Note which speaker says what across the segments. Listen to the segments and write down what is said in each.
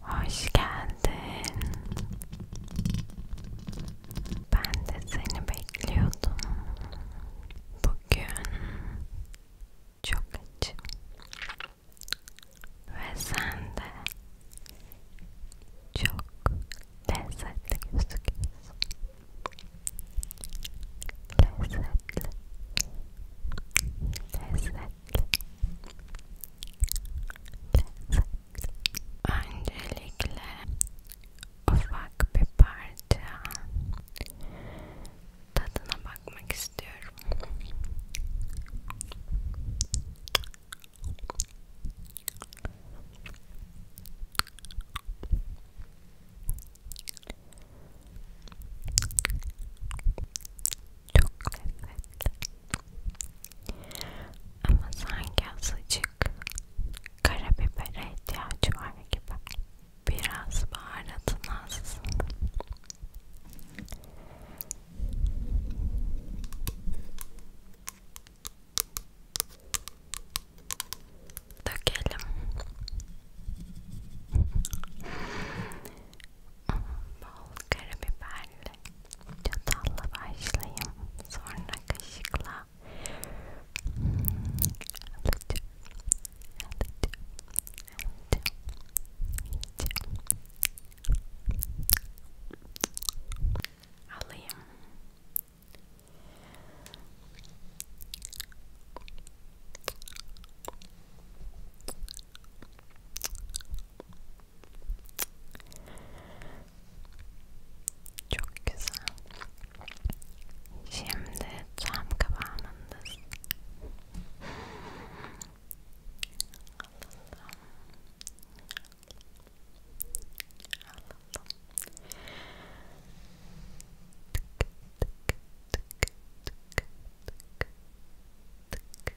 Speaker 1: Hoş geldin. Ben de seni bekliyordum. Bugün çok açım. Ve sen de çok lezzetli gözüküyorsun. Lezzetli. Lezzetli. Öncelikle ufak bir parça tadına bakmak istiyorum. Çok lezzetli. Ama sanki azıcık karabibere ihtiyacı var gibi. Biraz baharatın az. Dökelim bol karabiberle çatalla başlayayım sonra kaşıkla hmm, alacağım alacağım alacağım yiyeceğim alayım çok güzel. Şimdi tam kıvamındasın. Alalım. Alalım. Tık tık tık tık tık tık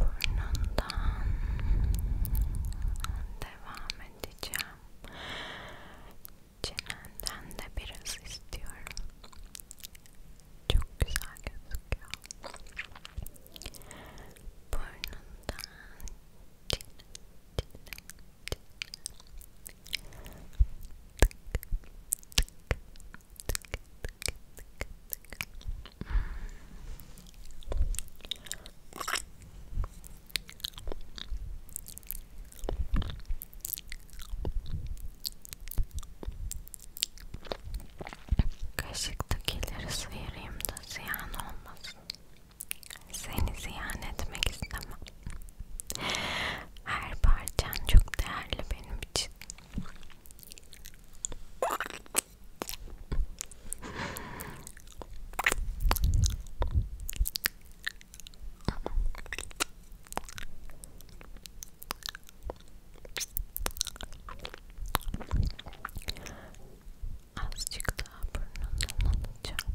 Speaker 1: Burnundan devam edeceğim. Çenenden de biraz istiyorum. Çok güzel gözüküyor. Burnundan çene, çene, Kaşıktakileri sıyırayım da ziyan olmasın. Seni ziyan etmek istemem. Her parçan çok değerli benim için. Azıcık daha burnundan alacağım.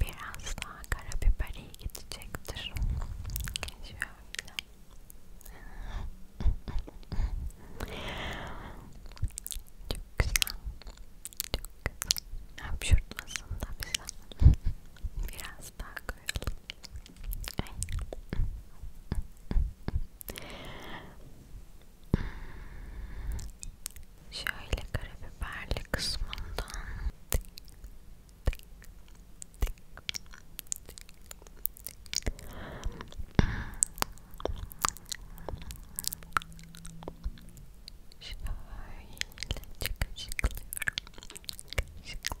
Speaker 1: biraz daha karabiber iyi gidecektir. Şöyle. Çok güzel. Çok hapşurtmasın da bize. Biraz daha koyalım. Ay. Şöyle karabiberli kısmından tık, tık, tık, tık. Şöyle kaşıklıyorum. Kaşıklı, kaşıklı, kaşıklıyorum.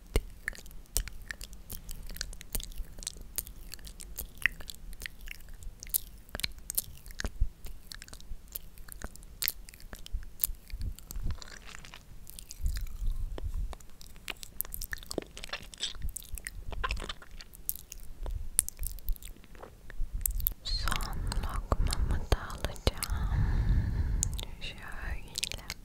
Speaker 1: Son lokmamı da alacağım. Şöyle.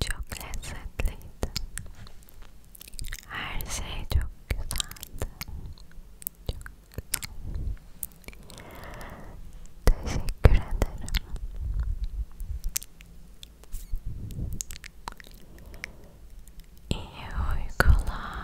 Speaker 1: Çok lezzetliydi. Her şey çok güzeldi. Çok güzel. Teşekkür ederim. İyi uykular.